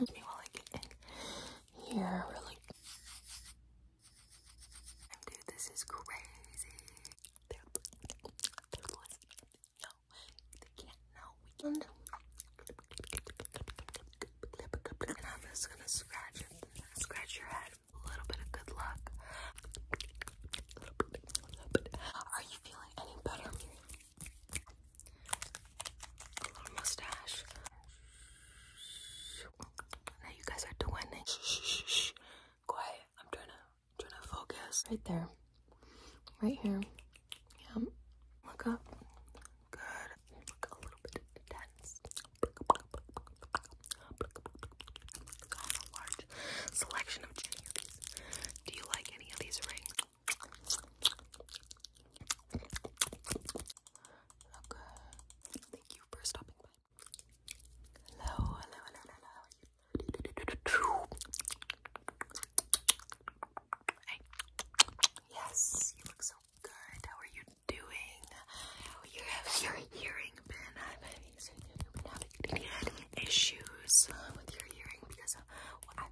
Okay, while I get in here, really. Dude, this is crazy. no, they can't know. I'm just gonna scratch scratch your head. A little bit of good luck. Are you feeling any better? A little mustache. Now you guys are doing it. Shh, shh, shh. Quiet. I'm trying to, trying to focus. Right there. Right here. Yeah. Look up. Good. a little bit intense. a large selection of any Do you like any of these rings? Okay. Thank you for stopping by. Hello, hello, hello, hello. Hey. Yes, you look so good. How are you doing? How you your hearing been? I've been having issues with your hearing because I've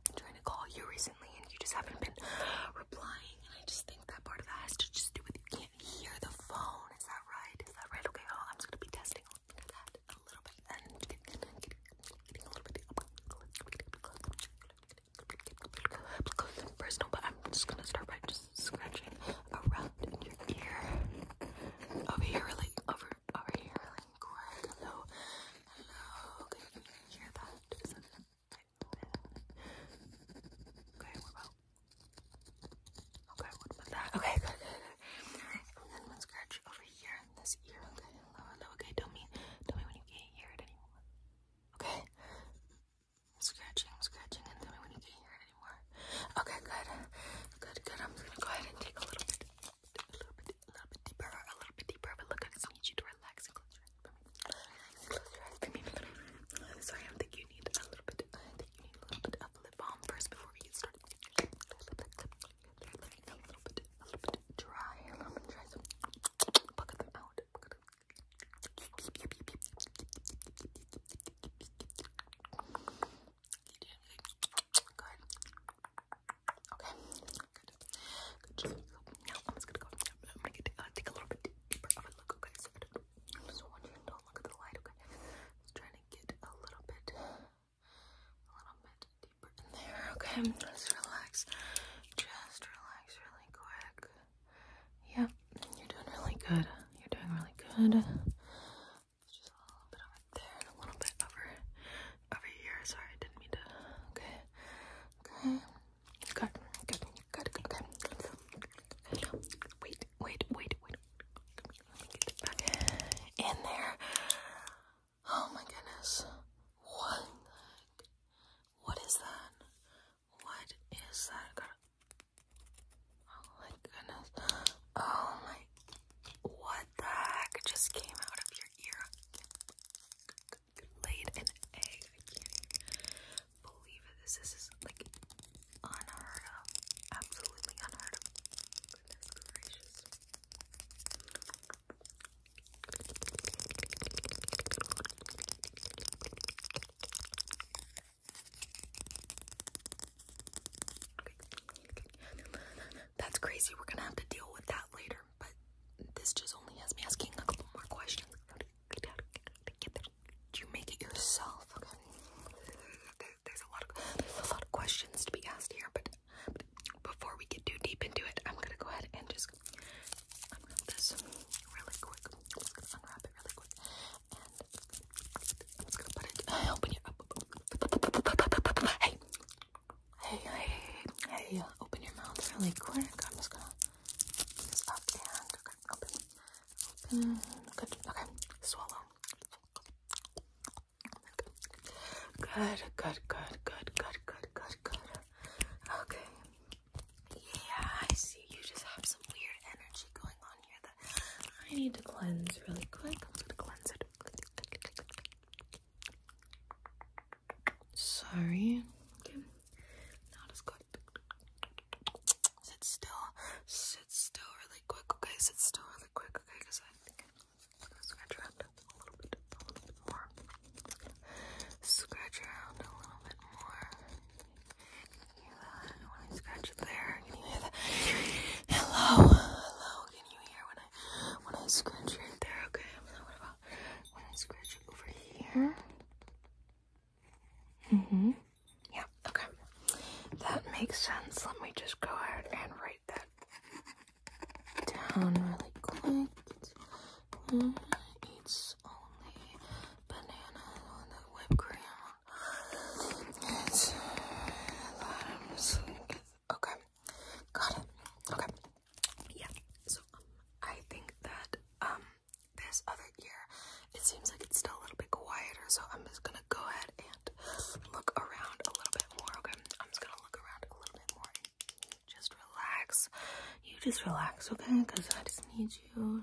been trying to call you recently and you just haven't been replying. And I just think that part of that has to just do with you can't hear the phone. Is that right? Is that right? Okay, I'm just gonna be testing on a little bit and getting, but I'm just gonna start by just scratching around your ear. Over here, really. Over, over here, Hello. Hello. Can you hear that? Okay, what about? Okay, what about that? Okay, good, And then let's scratch over here in this ear. Okay, hello, hello. Okay, tell me, tell me when you can't hear it anymore. Okay. I'm scratching, I'm scratching, and tell me when you can't hear it anymore. Okay, good, good, good. I'm gonna go ahead and take a little bit, a little bit, a little bit deeper, a little bit deeper, but look, I just need you to relax and close your eyes Sorry, I think you need a little bit, I think you need a little bit of lip balm first before we get started. A little bit, a little bit, a little bit dry, a little bit dry, so them out. good. Okay, good. Good. Now I'm just gonna go. I'm gonna get, uh, take a little bit deeper okay? just want you to look at the light, okay? Just trying to get a little bit, a little bit deeper in there, okay? Just relax. Just relax really quick. Yep, you're doing really good. You're doing really good. Just a little bit over there a little bit over over here. Sorry, I didn't mean to. Okay, okay, good, good, good, good, good. Wait, wait, wait, wait. Let me get back in there. Oh my goodness. What? What is that? What is that? God. Oh my goodness. Oh my. What the heck just came out of your ear? laid an egg. I can't believe This, this is like unheard of. Absolutely unheard of. That's crazy. We're gonna have to deal with that later but this just only has me asking a couple more questions. You make it yourself, okay? there's a lot of there's a lot of questions to be asked here, but, before we get too deep into it, I'm gonna go ahead and just unwrap this really quick. unwrap it really quick, and I'm just put it. Open your. Hey, Hey, hey, hey, open your mouth really quick. I'm just gonna do this up and okay, open, open, good, okay, swallow. Good, good, good, good, good, good, good, good. Okay. Yeah, I see. You just have some weird energy going on here that I need to cleanse really quick. I'm just gonna cleanse it. Sorry. Okay. Not as good. Sit still. Sit still really quick, okay? Sit still really quick, okay? Because I scratch around a little bit, more. Scratch around a little bit more. hear that when I scratch it there? Can you hear that? Hello? Hello? Can you hear when when I when I scratch right there, okay? And then what about when I scratch over here? Mm-hmm. Yeah, okay. That makes sense. Let me just go ahead and write that down really quick. It's uh, only banana on the whipped cream. Uh, okay. Got it. Okay yeah, so um, I think that um this other ear, it seems like it's still a little bit quieter, so I'm just gonna go ahead and look around a little bit more. Okay, I'm just gonna look around a little bit more and just relax. You just relax, okay? Because I just need you.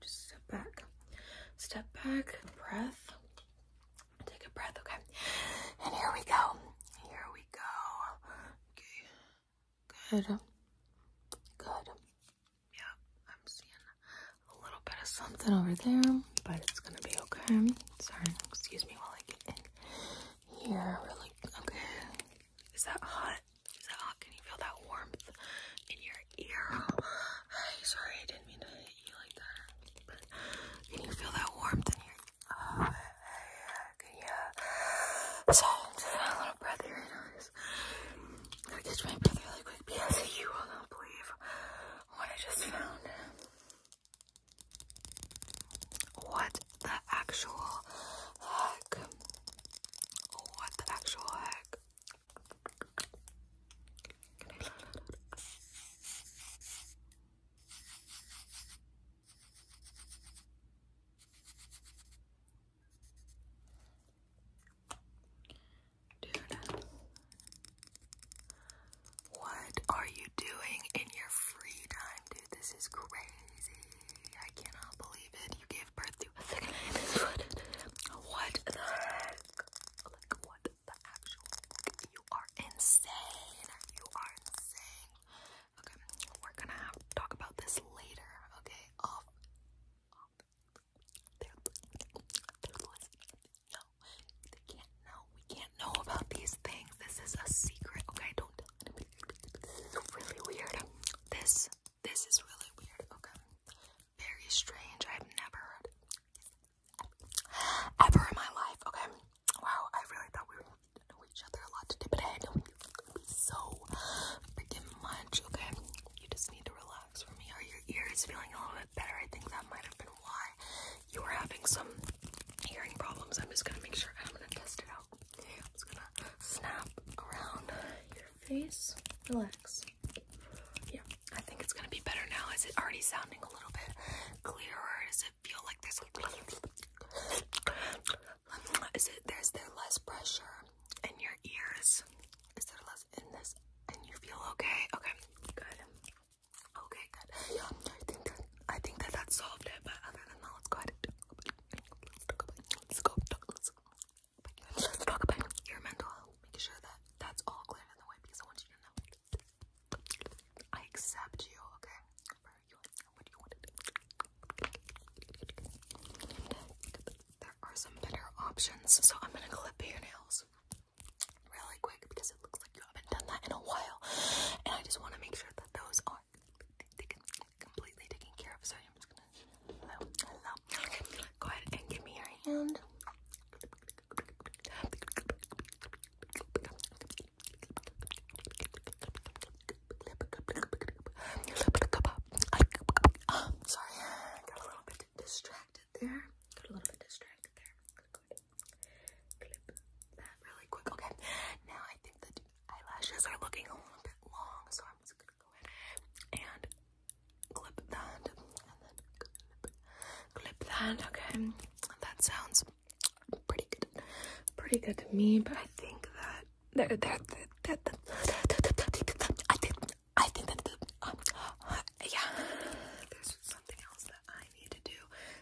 Just step back, step back, breath. Take a breath, okay? And here we go. Here we go. Okay. Good. Good. Yeah, I'm seeing a little bit of something over there, but it's gonna be okay. Sorry, excuse me while I get in here. Really, okay. Is that hot? Is that hot? Can you feel that warmth in your ear? Sorry, I didn't mean to hit you like that. But can you feel that warmth in your Oh, I can hear A little breath here. I catch my breath really quick because you will not believe what I just found. What the actual heck? What the actual heck? Dude, what are you doing in your free time, dude? This is crazy. I cannot believe it. You gave birth to a second. what the heck? Like, what the you are insane. You are insane. Okay, we're gonna have to talk about this later. Okay, They're, they're no, they can't know. We can't know about these things. This is a secret. Okay, don't really weird. This, this is really weird. Okay, very strange. I've never heard ever in my life. Okay. Wow, I really thought we would know each other a lot today, but I know so much. Okay. You just need to relax for me. Are your ears feeling a little bit better? I think that might have been why you were having some hearing problems. I'm just gonna make sure I'm gonna test it out. I'm just gonna snap around your face. Relax. Yeah, I think it's gonna be better now. Is it already sounding a little bit clearer? Is feel like there's is it there's there less pressure in your ears? Is there less in this and you feel okay? Okay, good. Okay, good. I think that I think that that solved it, but other than that, let's go ahead let's talk go Let's talk about your mental health, making sure that that's all clear in the way because I want you to know I accept you, okay? There are some better options, so I'm gonna clip your nails really quick because it looks like you haven't done that in a while, and I just want to make sure that those are completely taken care of. So I'm just gonna go ahead and give me your hand. Um, sorry, I got a little bit distracted there. Got a little bit distracted there. Clip that really quick. Okay, now I think the eyelashes are looking a little bit long, so I'm just gonna go ahead and clip that, and then clip that. Okay, that sounds pretty good, pretty good to me. But I think that they're that are that I think I think that um, yeah, there's something else that I need to do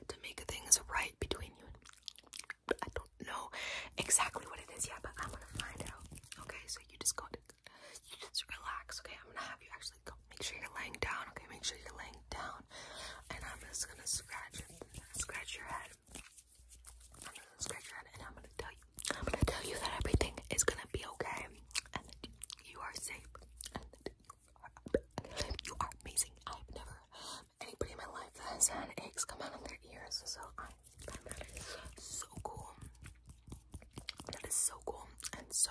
to make things right between you and me. But I don't know exactly what it is yet, but I'm gonna find out. Okay, so you just go to you just relax. Okay, I'm gonna have you actually go. Make sure you're laying down. Okay, make sure you're laying down and I'm just gonna scratch scratch your head. I'm gonna scratch your head, and I'm gonna tell you, I'm gonna tell you that everything is gonna be okay, and you are safe, and that you are, you are amazing. I've never anybody in my life that has had eggs come out of their ears, so I um, that is so cool. That is so cool and so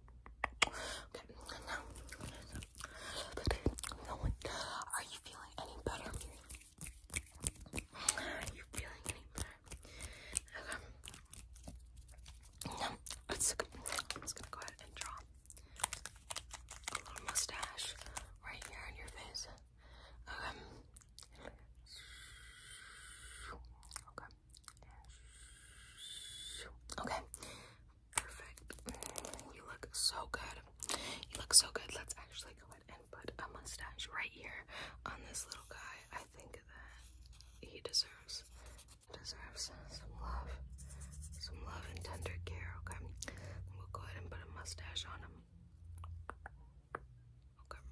Okay, now, no one, are you feeling any better? Are you feeling any better? Okay. Now, it's, I'm just gonna go ahead and draw a little mustache right here on your face. Okay. Okay. Perfect. You look so good. You look so good. Let's actually go ahead and put a mustache right here on this little guy. I think that he deserves deserves some love. Some love and tender care, okay? We'll go ahead and put a mustache on him. Okay.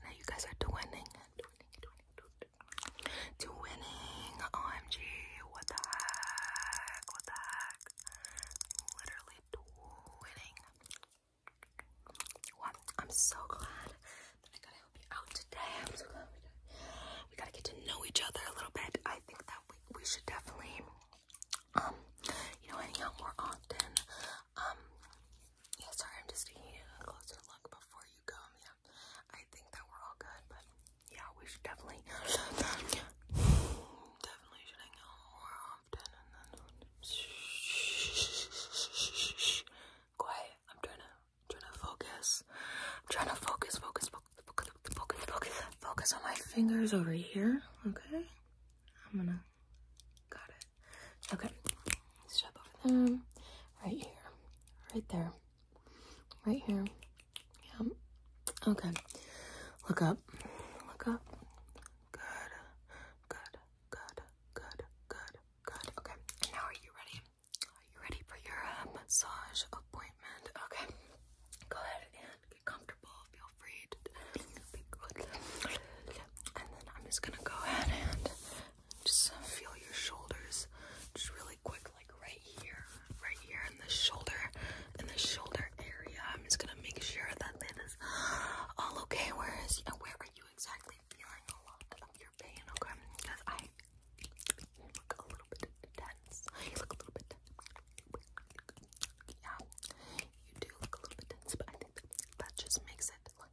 Now you guys are twinning, to winning. OMG, what the heck? What the heck? I'm winning. I'm so glad that I gotta help you out today. we got to get to know each other a little bit. I think that we we should definitely um you know hang out more often. Um yeah, sorry, I'm just taking a closer look before you go Yeah. I think that we're all good, but yeah, we should definitely, definitely should hang out more often. quiet. I'm trying to, trying to focus. I'm trying to focus, focus, focus, focus, focus, focus on my fingers over here. Okay, I'm gonna. Got it. Okay. Step over them. Right here. Right there. Right here. Yeah. Okay. Look up. Look up. Good. Good. Good. Good. Good. Good. Okay. And now are you ready? Are you ready for your uh, massage appointment? Okay. Go ahead and get comfortable. Feel free to be good. And then I'm just gonna go ahead and just feel your shoulders just really quick, like right here, right here in the shoulder, in the shoulder area. I'm just gonna make sure that that is all okay. Where is where are you exactly feeling a lot of your pain? Okay, because I look a little bit tense. You look a little bit tense. Yeah, you do look a little bit tense, but I think that just makes it look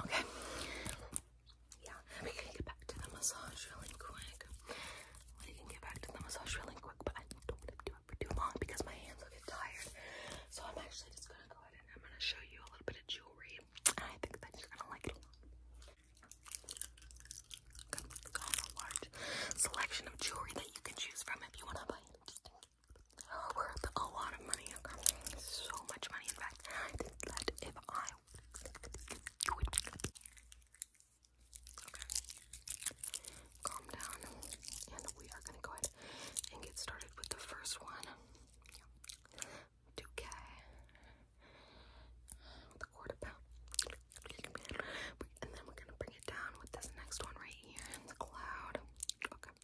Okay. Yeah, we can get back to the massage really quick. We can get back to the massage really quick, but I don't want to do for too long because my hands will get tired. So I'm actually just gonna go ahead and I'm gonna show you a little bit of jewelry. And I think that you're gonna like it a lot. Got a large selection of jewelry that you can choose from if you wanna buy worth a lot of money. So much money, in fact. I think that if I calm down, and we are gonna go ahead and get started with the first one. Yeah. k with quarter pound. And then we're gonna bring it down with this next one right here the cloud. Okay.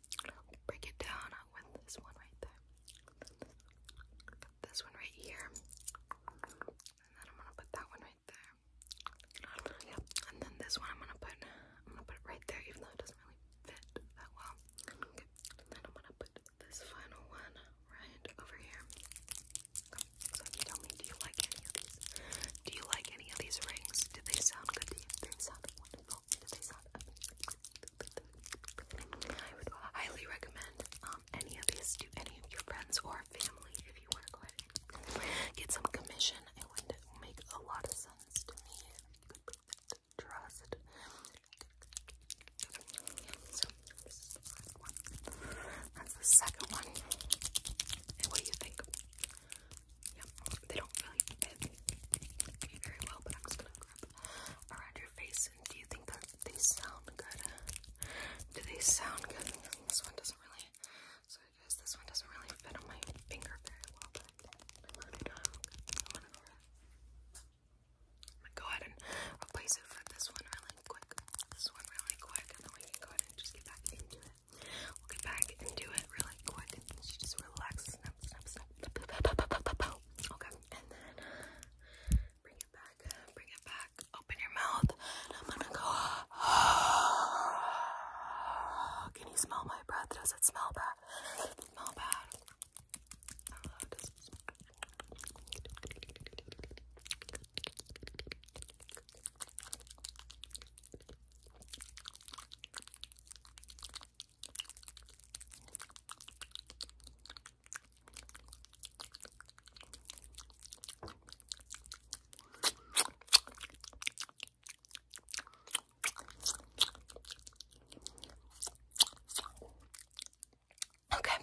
Break it down with this one right there. this one right here. And then I'm gonna put that one right there. Yeah. And then this one I'm gonna put I'm gonna put it right there, even though it doesn't really fit that well. And then I'm gonna put this final one right over here. So tell me, do you like any of these? Do you like any of these rings? Do they sound good to you? Do they sound wonderful? Do they sound amazing? I would highly recommend um any of these to any of your friends or family if you want to go ahead get some commission. It make a lot of sense sense the second one. what do you think? Yep, they don't really very well, but I'm gonna grab around your face. And do you think that they sound good? Do they sound good? This one doesn't really it is. This one doesn't really fit on my finger very well, but I am um, gonna go ahead. and replace it with this one really quick. This one really quick, and then we can go ahead and just get back into it. We'll get back into it really quick, and just relaxes. Okay, and then bring it back. Bring it back. Open your mouth. I'm gonna go. Can you smell my breath? Does it smell bad? smell bad? Uh, Okay.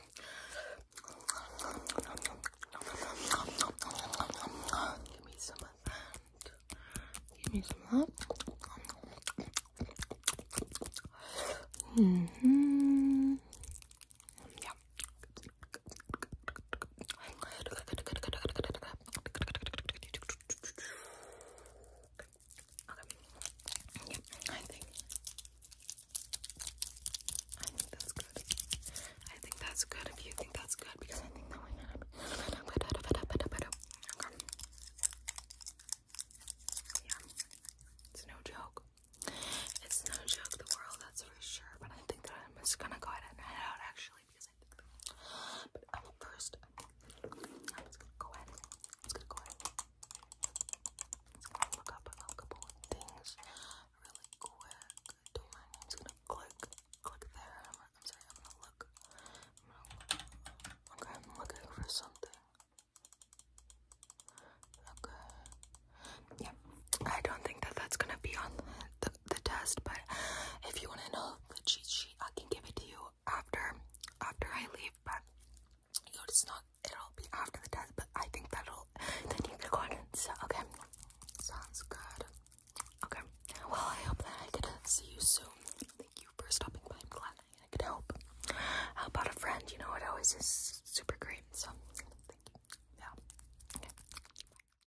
Give me some of that. Give me some of that. hmm. Yeah. I think that's good. I think that's good if you think that's good because I think that we have okay. It's no joke. It's no joke the world, that's for sure. But I think that I'm just gonna go ahead and head out actually because I think. But um, first. I'm just gonna go ahead. I'm just gonna go ahead. I'm gonna look up a couple of things really quick. Don't mind me. i gonna click, click there. I'm, sorry. I'm gonna look. Okay, I'm looking for something. Okay. Yeah, I don't think that that's gonna be on the the, test, but if you want to know the cheat sheet, I can give it to you after after I leave, but you know, it's not it'll be after the test, but I think that'll then you can go ahead and so okay. Sounds good. Okay. Well I hope that I could see you soon. Thank you for stopping by. I'm glad I could help. How about a friend? You know it always is super great. So thank you. Yeah.